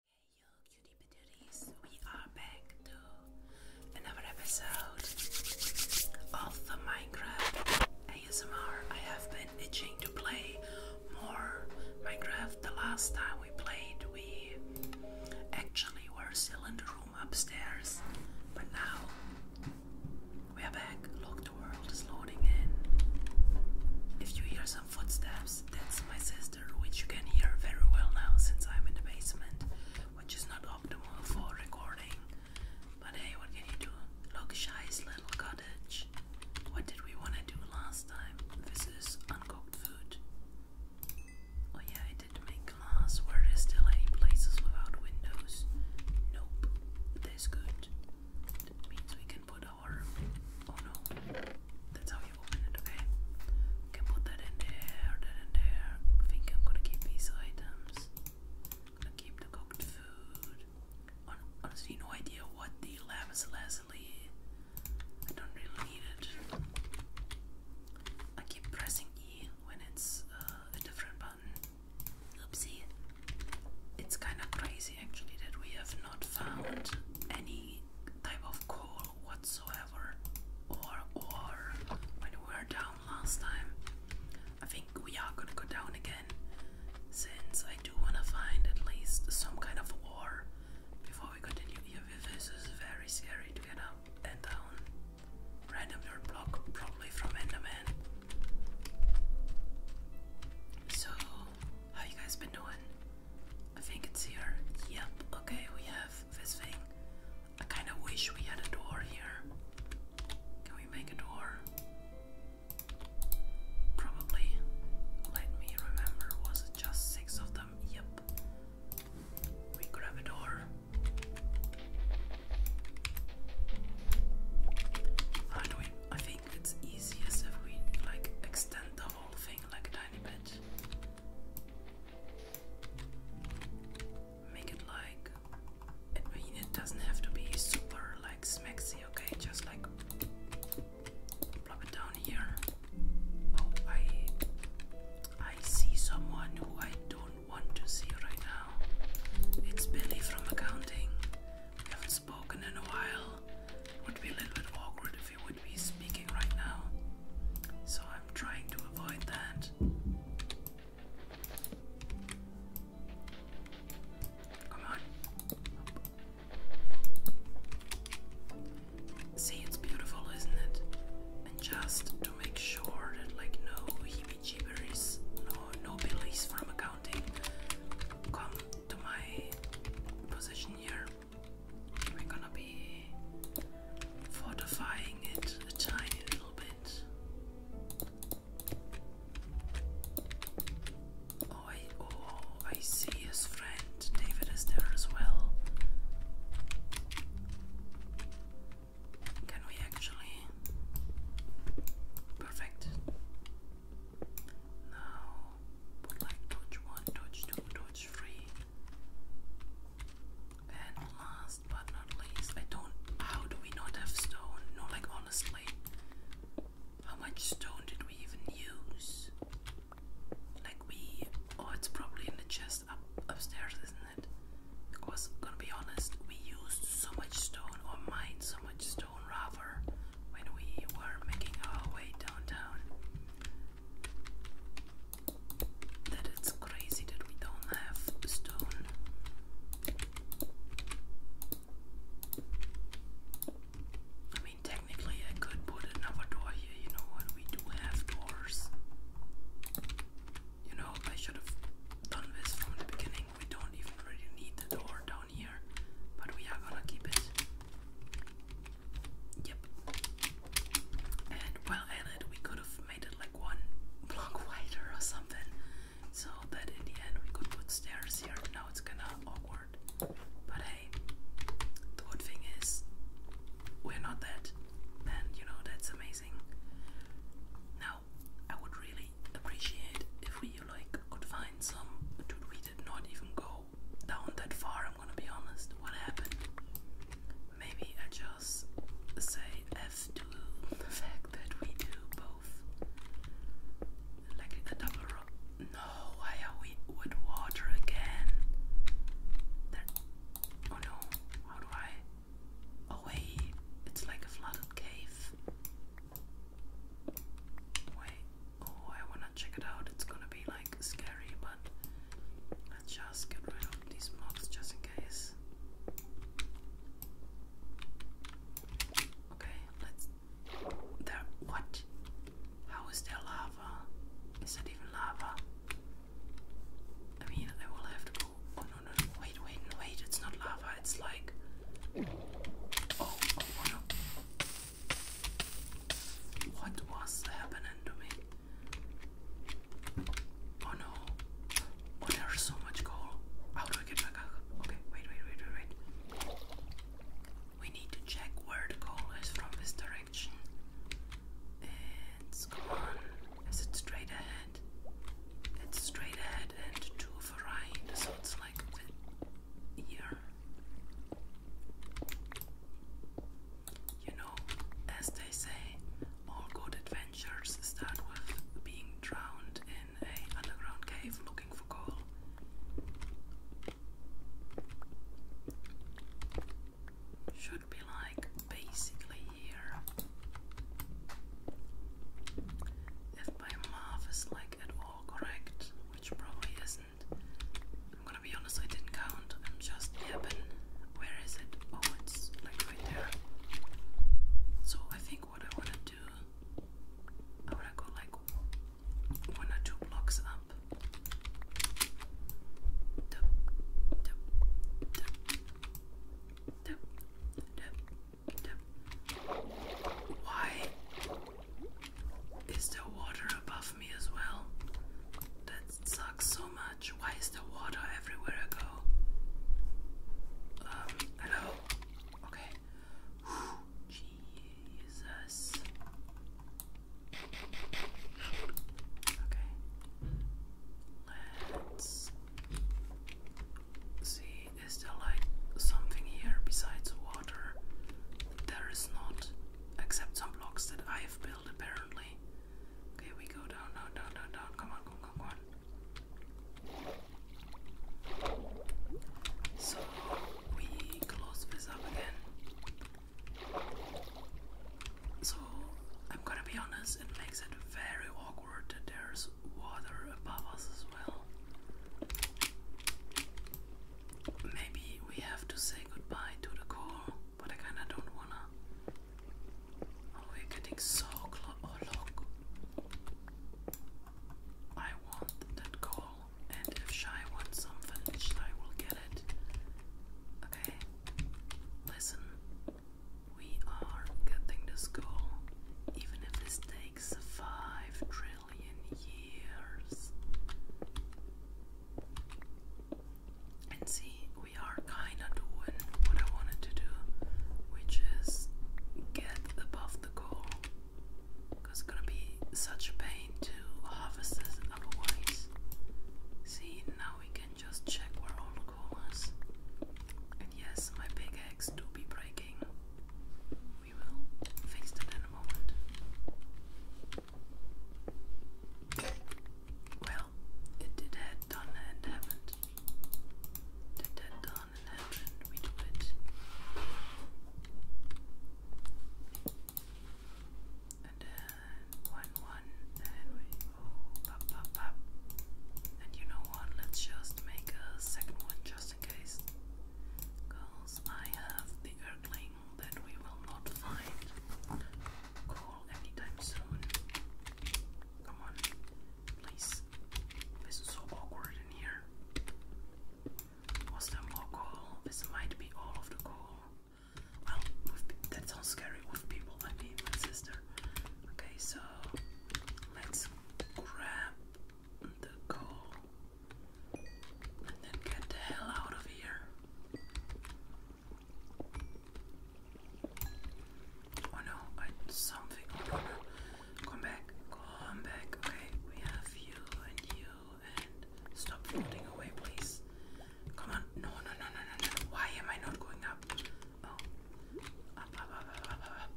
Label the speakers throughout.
Speaker 1: Hey you cutie patooties, we are back to another episode of the Minecraft ASMR. I have been itching to play more Minecraft. The last time we played we actually were still in the room upstairs, but now we are back. Look, the world is loading in. If you hear some footsteps, that's my sister which you can hear very well now since I'm in the basement, which is not optimal for recording. But hey, what can you do? Look, shy's little cottage. What did we want to do last time? This is uncooked food. Oh yeah, I did make glass. Were there still any places without windows? Nope. That's good. means we can put Oh no, that's how you open it, okay? can put that in there, that in there. think I'm gonna keep these items. gonna keep the cooked food. honestly, no idea what the lapis lazuli. I don't really need it. I keep pressing E when it's uh, a different button. Oopsie. It's kind of crazy actually that we have not found any type of coal whatsoever. Or, or when we were down last time, I think we are gonna go down again. Since I do wanna find at least some kind of ore before we continue. Yeah, this is very scary to get up and down. Random dirt block, probably from Enderman. So how you guys been doing? I think it's here. Yep, okay, we have this thing. I kinda wish we had a door here. Can we make a door? Probably. Let me remember, was it just six of them? Yep. We grab a door. How do we I think it's easiest if we like extend the whole thing like that. Make it like I mean it doesn't have to be super like smexy, okay? Just like plop it down here. Oh I I see someone who I don't want to see right now. It's Billy from accounting. We haven't spoken in a while. would be a little bit awkward would be speaking right now. So I'm trying to avoid that. Come on. See, it's beautiful, isn't it? And just to make sure that, like, no heebie no, no billies from accounting come to my position here. We're gonna be fortifying it a tiny little bit. Oh, I, oh, I see his friend David is there as well. Can we actually? Perfect. Now put like torch 1, torch 2, torch 3. And last but not least, I don't. How do we not have stone? No, like honestly. How much stone did we even use? Like we. Oh, it's probably in the chest up upstairs, isn't it? Because, gonna be honest, we used so much stone, or mined so much stone rather, when we were making our way downtown. That it's crazy that we don't have stone. I mean, technically, I could put another door here, you know what? We do have doors. You know, I should have done this from the beginning. We don't even really need the door down here, but we are gonna keep it. Yep. And while at it, we could have made it like one block wider or something, so that in the end we could put stairs here. Now it's kinda awkward. But hey, the good thing is, we're not that, and you know, that's amazing. Now, I would really appreciate if we like could find some dude we did not even go down that far, I'm gonna be honest. What happened? Maybe I just say F to the fact that we do both. Like the double rock. No, why are we with water again? There. Oh no, how do I? Oh it's like a flooded cave. Wait, Oh, I wanna check it out. It's gonna be like scary, but let's just get rid of these mobs just in case. Okay, let's. There. What? How is there lava? Is that even lava? I mean, I will have to go. Oh no, no, no. Wait, wait, wait. It's not lava. It's like. Oh, oh, oh, what was happening to me? Oh no. Oh, there's so much coal. How do I get back up? Okay, wait, wait, wait, wait, wait. We need to check where the coal is from this direction. It's gone. Is it straight ahead? It's straight ahead and to the right, so it's like here. You know, as they say, all good adventures start with being drowned in a underground cave looking for coal. Should be like basically here. If my math is like at all correct, which probably is not I'm gonna be honest, I didn't count. I'm just yapping. Where is it? Oh, it's like right there. So I think what I wanna do, I wanna go like one or two blocks up. Why? Is there water above me as well? That sucks so much. Why is there water everywhere I go? Um, hello? Okay. Jesus. Okay. Let's see. Is there like something here besides water? there is not, except some blocks that I have built apparently. Okay, we go down, down, down, down, down. Come on, come on, come on. So we close this up again. So I'm gonna be honest, it makes it very awkward that there's water above us as well. Maybe we have to say goodbye to the call, but I kinda don't wanna. Oh, we're getting so close. Oh, I want that call, and if Shy wants something, Shy will get it. Okay? Listen, we are getting this goal, even if this takes five trillion years. And see, we are kinda doing what I wanted to do, which is get above the goal. Because it's gonna be such a pain to harvest this otherwise. See, now we can just check where all the coal And yes, my big eggs do be breaking. We will fix that in a moment. Well, did had done and happened. Did that done and happened, we do And then one one and we go oh, pop pop pop. And you know what? Let's just make a second one just in case. Go I have the Erkling that we will not find coal anytime soon. Come on, please. This is so awkward in here. Was there more coal? This might be all of the coal. Well, that sounds scary with people, I mean my sister. Okay, so let's grab the coal. And then get the hell out of here. Oh no, something. Come back, come back. Okay, we have you and you and stop floating away, please. Come on. No, no, no, no, no, no. Why am I not going up? Oh. Up, up, up, up, up, up.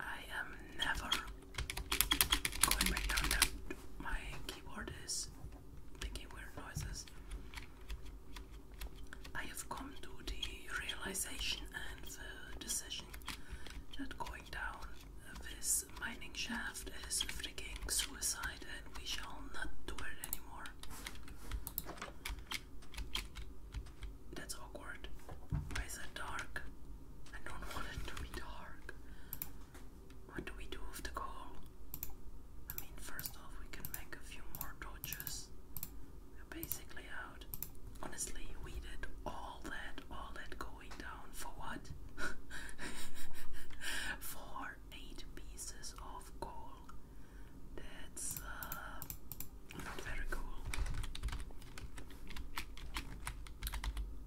Speaker 1: I am never Going back down now, my keyboard is making weird noises. I have come to the realization and the decision that going down this mining shaft is freaking suicide and we shall not do it anymore. That's awkward. Why is it dark? I don't want it to be dark. What do we do with the coal? I mean, first off, we can make a few more torches. We're basically out. Honestly, we did all that, all that going down for what? for eight pieces of coal. That's uh, not very cool.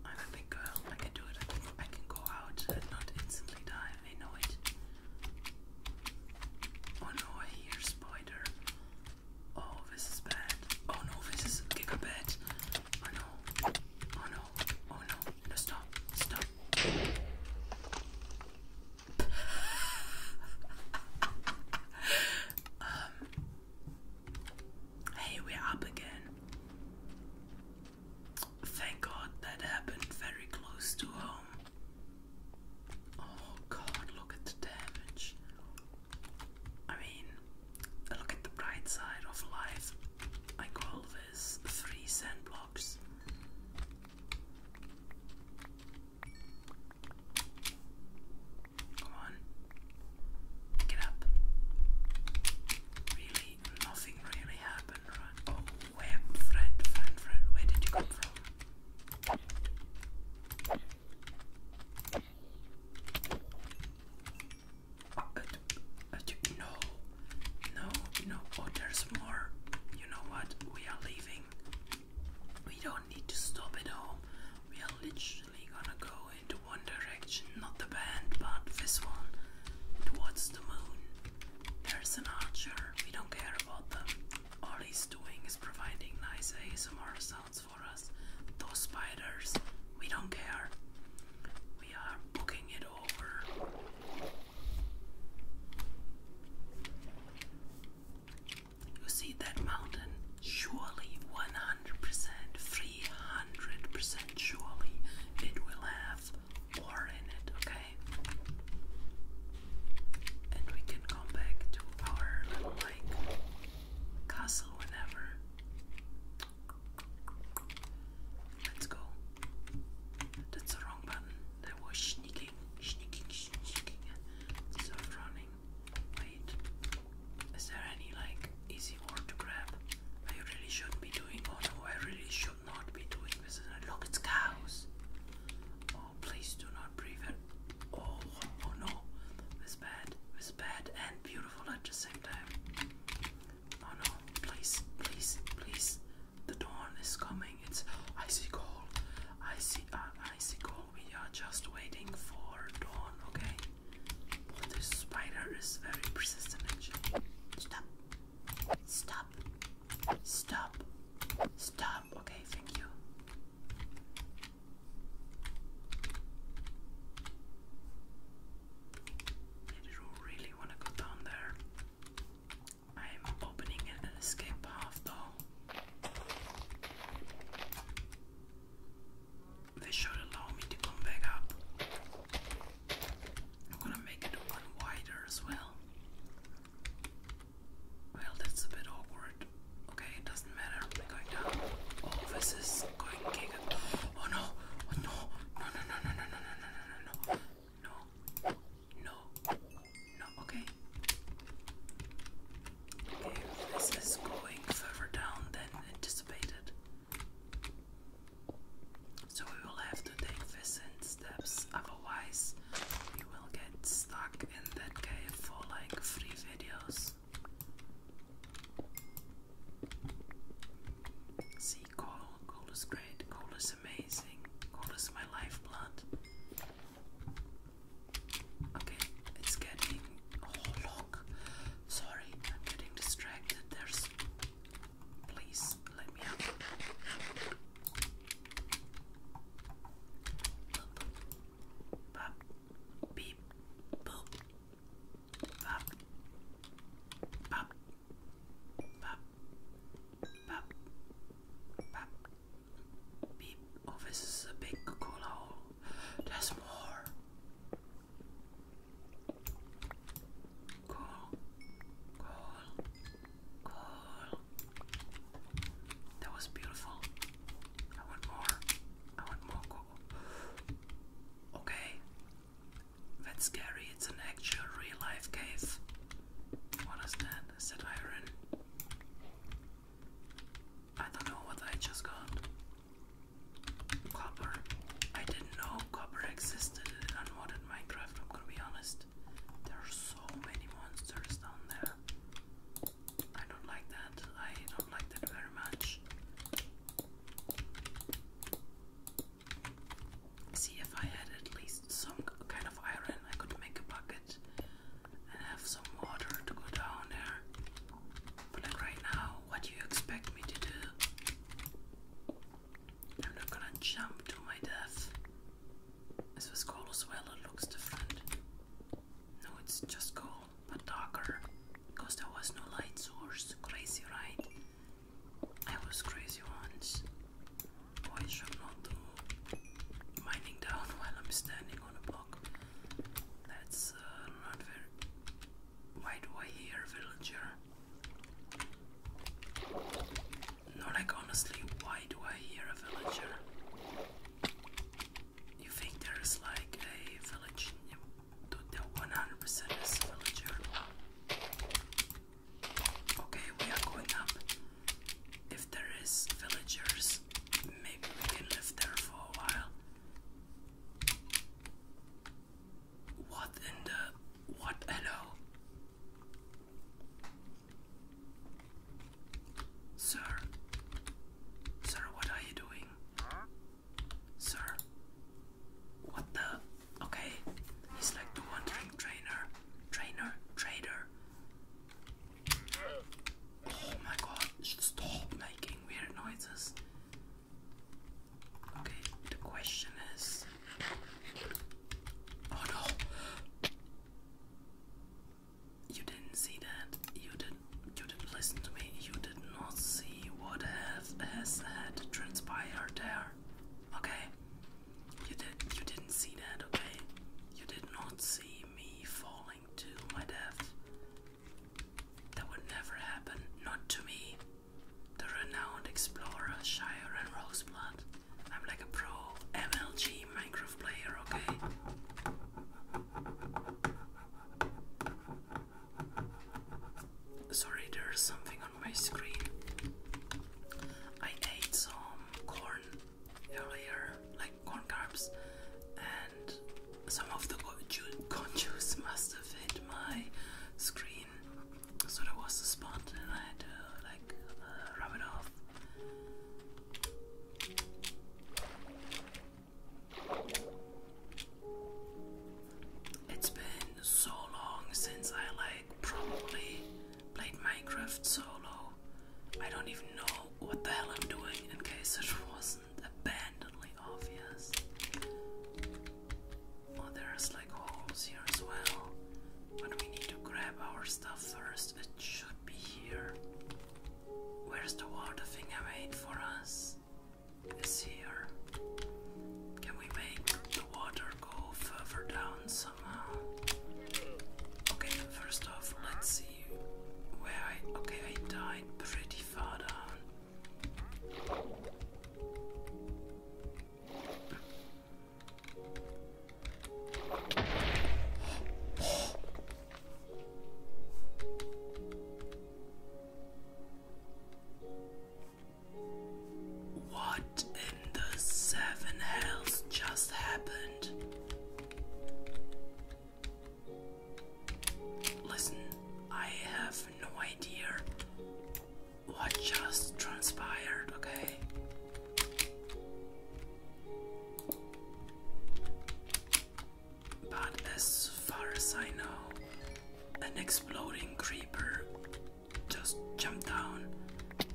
Speaker 1: I'm a big girl. I can do it. I can, go out and not instantly die. I know it. Oh no, I hear spider. Oh, this is bad. Oh no, this is gigabit. Oh no. Oh no. Oh No, stop. Stop. um, Hey, we're up again. Thank God that happened very close to home. Oh God, look at the damage. I mean, look at the bright side of life. I call this three sand blocks. Come on. Get up. Really, nothing really happened, right? Oh, where, friend, friend, friend, where did you come from? Uh, no, no, no, oh, there's more. You know what? We are leaving. We don't need to stop at home. We are literally usually gonna go into one direction, not the band, but this one, towards the moon. There's an archer, we don't care about them. All he's doing is providing nice ASMR sounds for us. Those spiders, we don't care. We are booking it over. You see that mountain? Surely 100% free Hundred percent surely it will have ore in it, okay? And we can go back to our little castle whenever. Let's go. That's the wrong button. That was sneaking, sneaking, sneaking. It's running. Wait. Is there any like easy word to grab? I really shouldn't be doing or no, I really should not be doing this. Look, it's cows. Oh, please do not breathe it. Oh, oh no. It's bad. It's bad and beautiful at the same time. Oh no, please, please, please. The dawn is coming. It's icy cold. Icy, uh, icy cold. We are just waiting for dawn, okay? this spider is very persistent actually. Stop. Stop. Stop. Stop. Okay, thank you. I don't really want to go down there. I'm opening an escape path though. They should allow me to come back up. I'm gonna make it one wider as well. Well, that's a bit awkward. Okay, it doesn't matter. We're going down. Oh, this is going kick. Oh, oh no! no! No! No! No! No! No! No! No! No! No! No! No! Okay, this is going further down anticipated. So we will have to take decent steps, otherwise we will get stuck in that cave for like three videos. See coal, coal is great, coal is amazing, coal is my lifeblood. Okay, it's getting oh look Sorry, I'm getting distracted. There's. Please let me out. Boop. Beep. Boop. Bop. Bop. Bop. Bop. Bop. Beep. Oh, this is a big cool hole. There's more. Cool. Cool. Cool. That was beautiful. I want more. I want more cool. Okay. That's scary. It's an actual real life cave. What is that? Is that iron? I don't know what I just got. Copper. I didn't know copper existed in unmodded Minecraft, I'm gonna be honest. There are so many monsters down there. I don't like that. I don't like that very much. See, if I had at least some kind of iron, I could make a bucket and have some water to go down there. But right now, what do you expect me to do? I'm not gonna jump to my death. This was coal as well, it looks different. No, it's just coal, but darker. Because there was no light source. Crazy, right? I was crazy once. Why should not do mining down while I'm standing on a block? That's uh, not very why do I hear villager? No, like honestly, why do I hear a villager? You think there's like a village? Dude, there 100% villager. Okay, we are going up. If there is villagers, maybe we can live there for a while. What in the what hello? Sir Sir what are you doing? Sir What the okay he's like the wandering trainer trainer trader Oh my god, stop making weird noises. Okay, the question is. Oh no! You didn't see that. You did You didn't listen to me. You did not see what has has had transpired there. Okay. You did. You didn't see that. Okay. You did not see me falling to my death. That would never happen, not to me, the renowned explorer Shire and Roseblood. I'm like a pro MLG Minecraft player, okay? Sorry, there's something on my screen. I ate some corn earlier, like corn carbs, and some of the contours must have hit my screen, so there was a spot, and I had to like uh, rub it off. It's been so long since I like probably played Minecraft solo. I don't even know what the hell I'm doing in case it was abandonedly obvious. Oh, there's like holes here as well. But we need to grab our stuff first. It should be here. Where's the water thing I made for us? It's here. Can we make the water go further down somehow? Okay, first off, let's see where I. Okay, I died pretty what in the seven hells just happened? Listen, I have no idea what just transpired, okay? But as far as I know, an exploding creeper just jumped down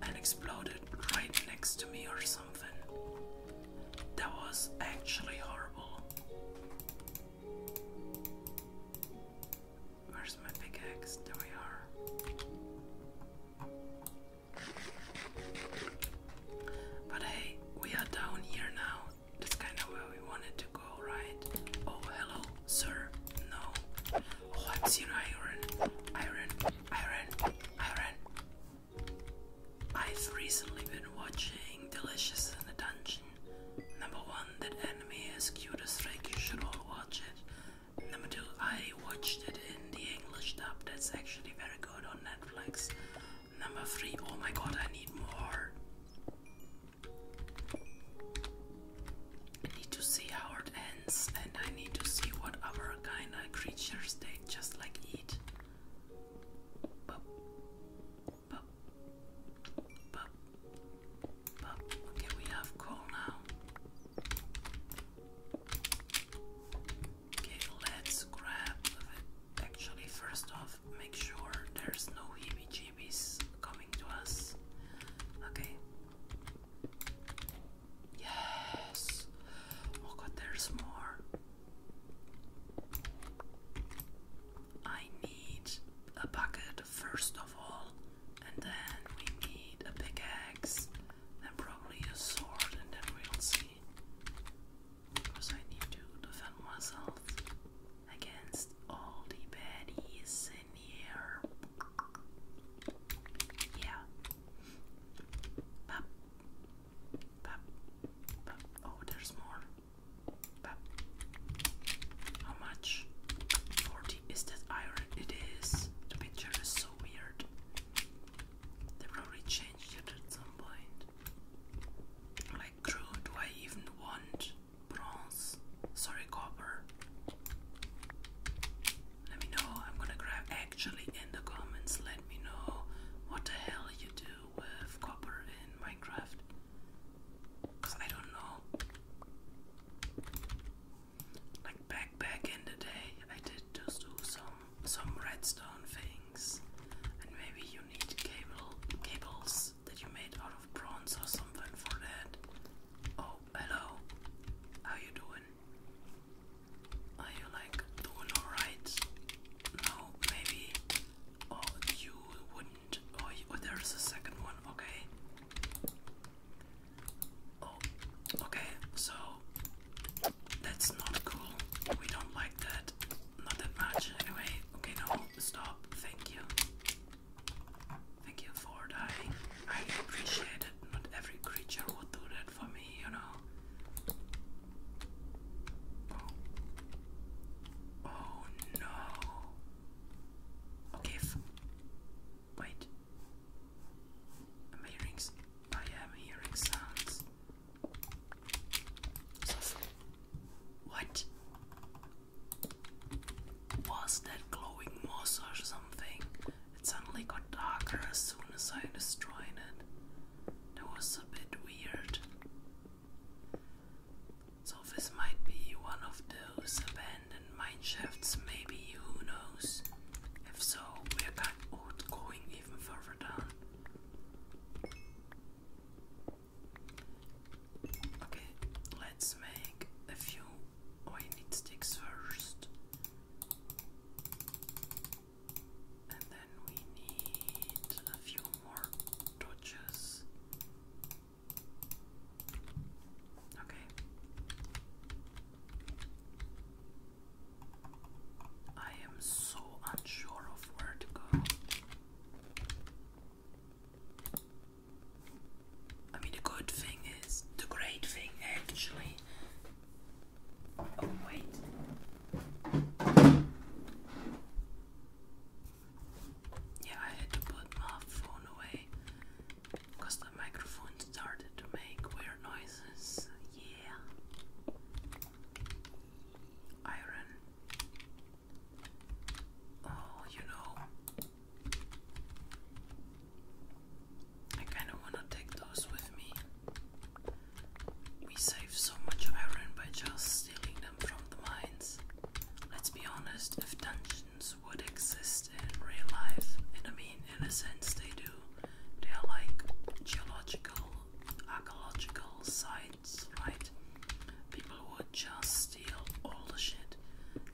Speaker 1: and exploded right next to me or something. That was actually horrible. Where's my pickaxe? There we are. But hey, we are down here now. That's kind of where we wanted to go, right? Oh, hello, sir. No. Oh, I've iron. Iron. Iron. Iron. I've recently been watching Delicious in the Dungeon. Number one, that anime is cute as like you should all watch it. Number two, I watched it in the English dub, that's actually very good on Netflix. Number three, oh my god, I need more. I need to see how it ends, and I need to see what other kind of creatures they just like eat. Okay, we have coal now. Okay, let's grab Actually, first off, make sure there's no heebie jeebies coming to us. Okay. Yes. Oh god, there's more. I need a bucket first of all, and then we need a pickaxe, and probably a sword, and then we'll see. Because I need to defend myself against all the baddies in here. Yeah. Oh, there's more. How much? 40. Is that iron? It is. The picture is so weird. They probably changed it at some point. Like, crew, do I even want bronze? Sorry, copper. Let me know. I'm gonna grab actually in the comments. Let me know what the hell you do with copper in Minecraft. Cause I don't know. Like back back in the day, I did just do some some redstone things, and maybe you need cable cables that you made out of bronze or something for that. Oh, hello. How you doing? Are you like doing alright? No, maybe Oh, you wouldn't. Oh, oh, there's a second one. Okay. Oh, okay. So that's not cool. We don't like that. Not that much, anyway. Okay, no, stop. Thank you. Thank you for dying. I appreciate it. Not every creature would do that for me, you know. Oh. no. Okay. Wait. Am I am hearing sounds. what? Was that glowing moss or something? It suddenly got darker as soon as I destroyed it that was a bit weird. So, this might be one of those abandoned mineshafts, maybe, who knows? If so, we're going even further down. Okay, let's make a few. Oh, sticks first. And then we need a few more torches. Okay. I am so unsure of where to go. I mean, the good thing is, the great thing actually Oh, wait. Yeah, I had to put my phone away because the microphone started to make weird noises. Yeah. Iron. Oh, you know. I kind of want to take those with me. We save so much iron by just stealing them from the mines. Let's be honest, if dungeons would exist in real life, I mean in a sense they do, they are like geological, archaeological sites, right? People would just steal all the shit.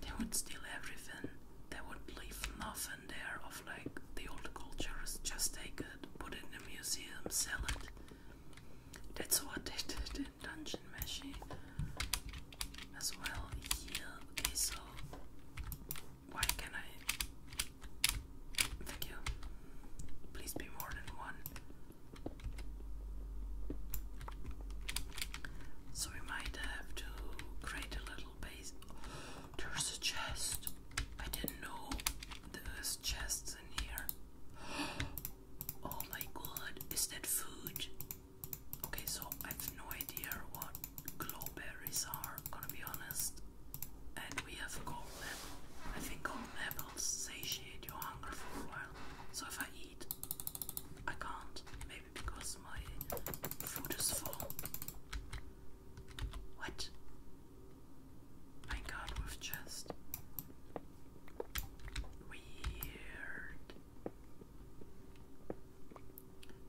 Speaker 1: They would steal everything. They would leave nothing there of like the old cultures. is just taken put it in a museum, sell it. That's what they did in Dungeon Meshi as well here. Okay, so why can I? Thank you. Please be more than one. So we might have to create a little base. there's a chest. I didn't know there's chests Oh my god, is that food? Okay, so I have no idea what glowberries are, gonna be honest. And we have gold apple. I think golden apples satiate your hunger for a while. So if I eat, I can't. Maybe because my food is full. What? I got with just weird.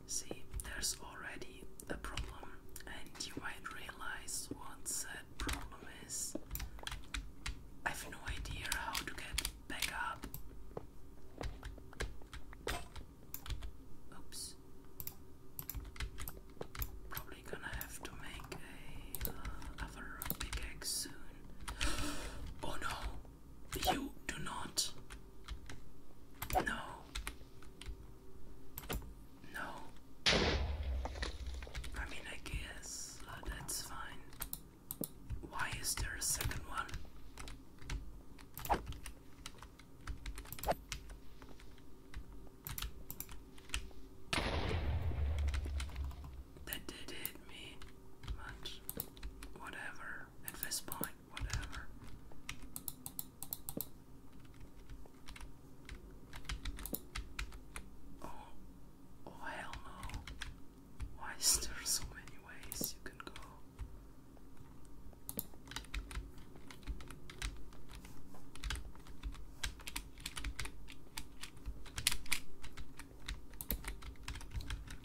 Speaker 1: See, there's already a problem, and you might realize what that problem is. I have no idea how to get back up. Oops probably gonna have to make a uh, other soon. oh no! You do not. No. No. I mean, I guess uh, that's fine. Why is there a second one? That did hit me, but whatever. At this point, whatever. Oh, oh hell no. Why is there so many ways you can go?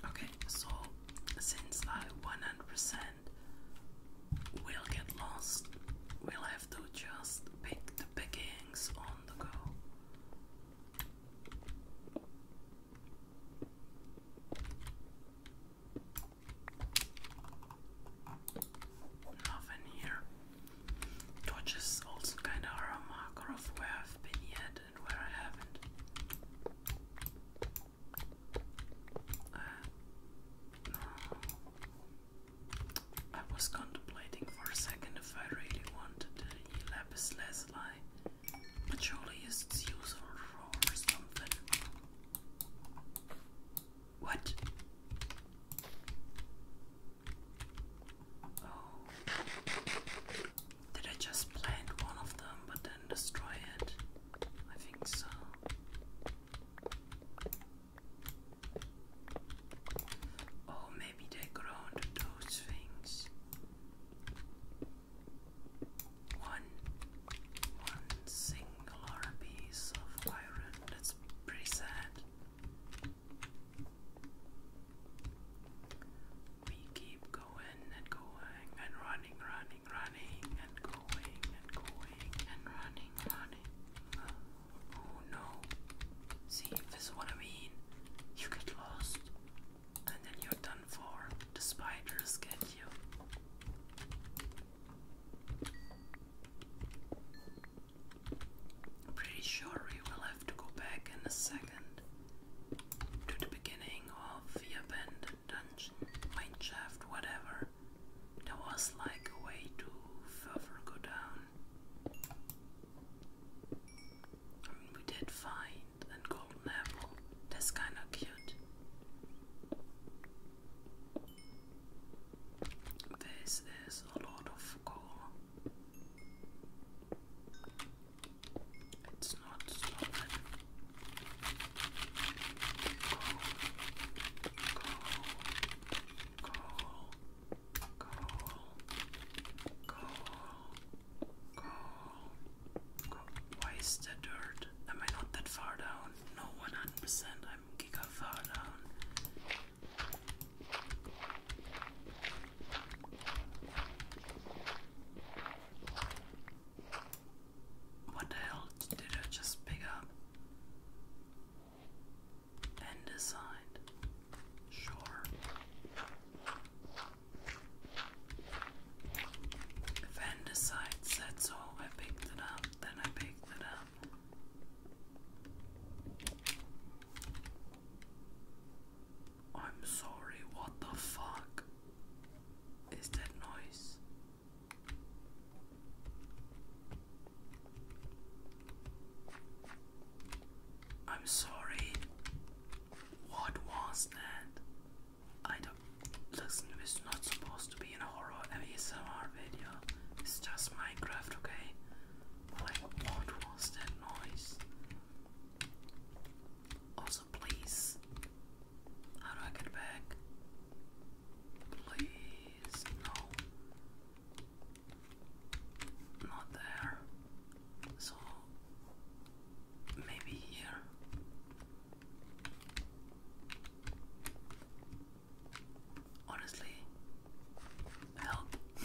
Speaker 1: Okay, so since I 100% will get lost, we'll have to just pick the pickings on the go. Nothing here. Torches also kinda are a marker of where I've been yet and where I haven't. Uh, no. I was contemplating for a second if I really wanted the lapis lazuli, but surely it's useful for something. What? Oh. Did I just plant one of them but then destroy it? I think so. Oh, maybe they grow onto those things. One, one singular piece of iron. That's pretty sad. We keep going and going and running, running, running and going and going and running, running. Uh, oh no. See, this is what I mean. You get lost and then you're done for. The spiders get you pretty sure we will have to go back in a second to the beginning of the abandoned dungeon, mineshaft, whatever. There was like a way to further go down. I mean, we did find a golden apple. That's kinda cute. This is a lot of coal. It's not solid. Coal, coal, coal, coal, coal, coal. Why is the dirt? Am I not that far down? No, 100%. What the hell did I just pick up? And Sure. If that's all, I picked it up, then I picked it up. I'm sorry, what the fuck is that noise? I'm sorry. What was that? I don't listen. It's not supposed to be in a horror and ASMR video. It's just Minecraft, okay? Like, what was that noise? Also, please. How do I get back? Please, no. Not there. So, maybe here. Honestly, help.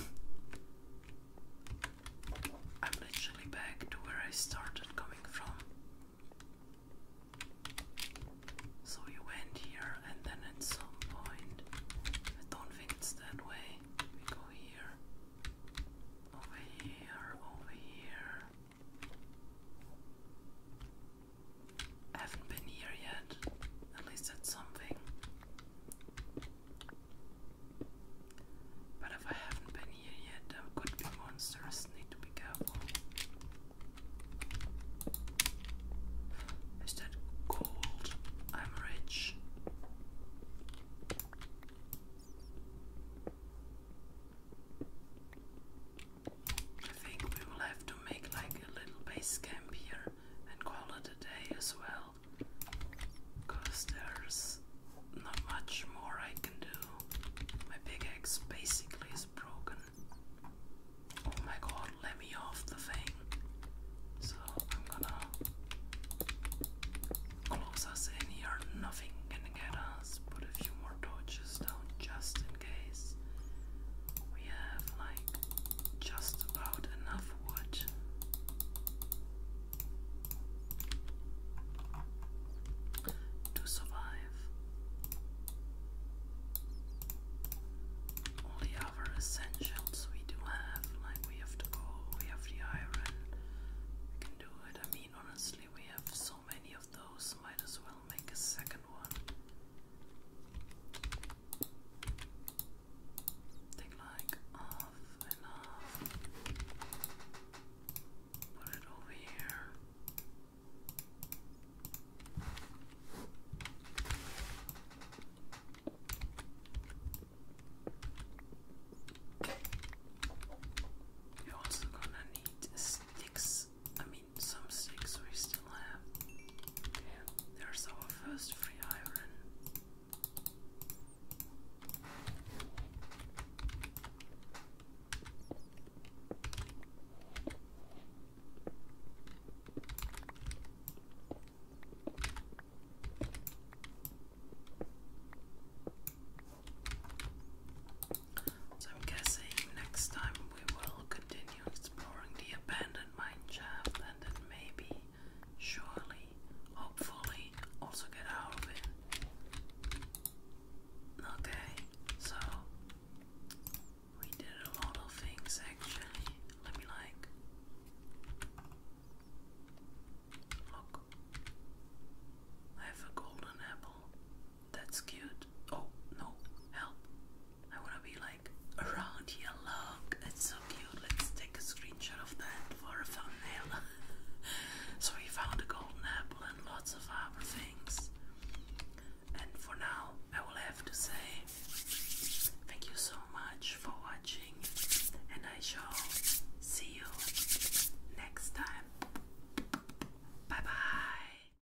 Speaker 1: I'm literally back to where I started coming from. So you went here, and then at some point, I don't think it's that way. We go here, over here, over here haven't been here yet. At least that's something. But if I haven't been here yet, there could be monsters. Need to be careful. Is that gold? I'm rich. I think we will have to make like a little base camp here and call it a day as well. Because there's not much more I can do. My big axe basically is broken. Oh my god, let me off the thing. So I'm gonna close us in here. Nothing can get us. Put a few more torches down just case we have like just about enough wood. To survive, all the essentials we do have, like we have the coal, we have the iron, we can do it. I mean, honestly, we have so many of those, might as well make a second one. Take like off and off. Put it over here. You're also gonna need sticks. I mean, some sticks we still have. There's our first free iron. So I'm guessing next time we will continue exploring the abandoned mine shaft and then maybe, surely, hopefully, also get out of it. Okay, so we did a lot of things actually. Let me like look. I have a golden apple. That's cute. Oh no, help. I wanna be like around here. Look, it's so cute. Let's take a screenshot of that for a thumbnail. so we found a golden apple and lots of other things. And for now, I will have to say thank you so much for watching, and I shall see you next time. Bye bye.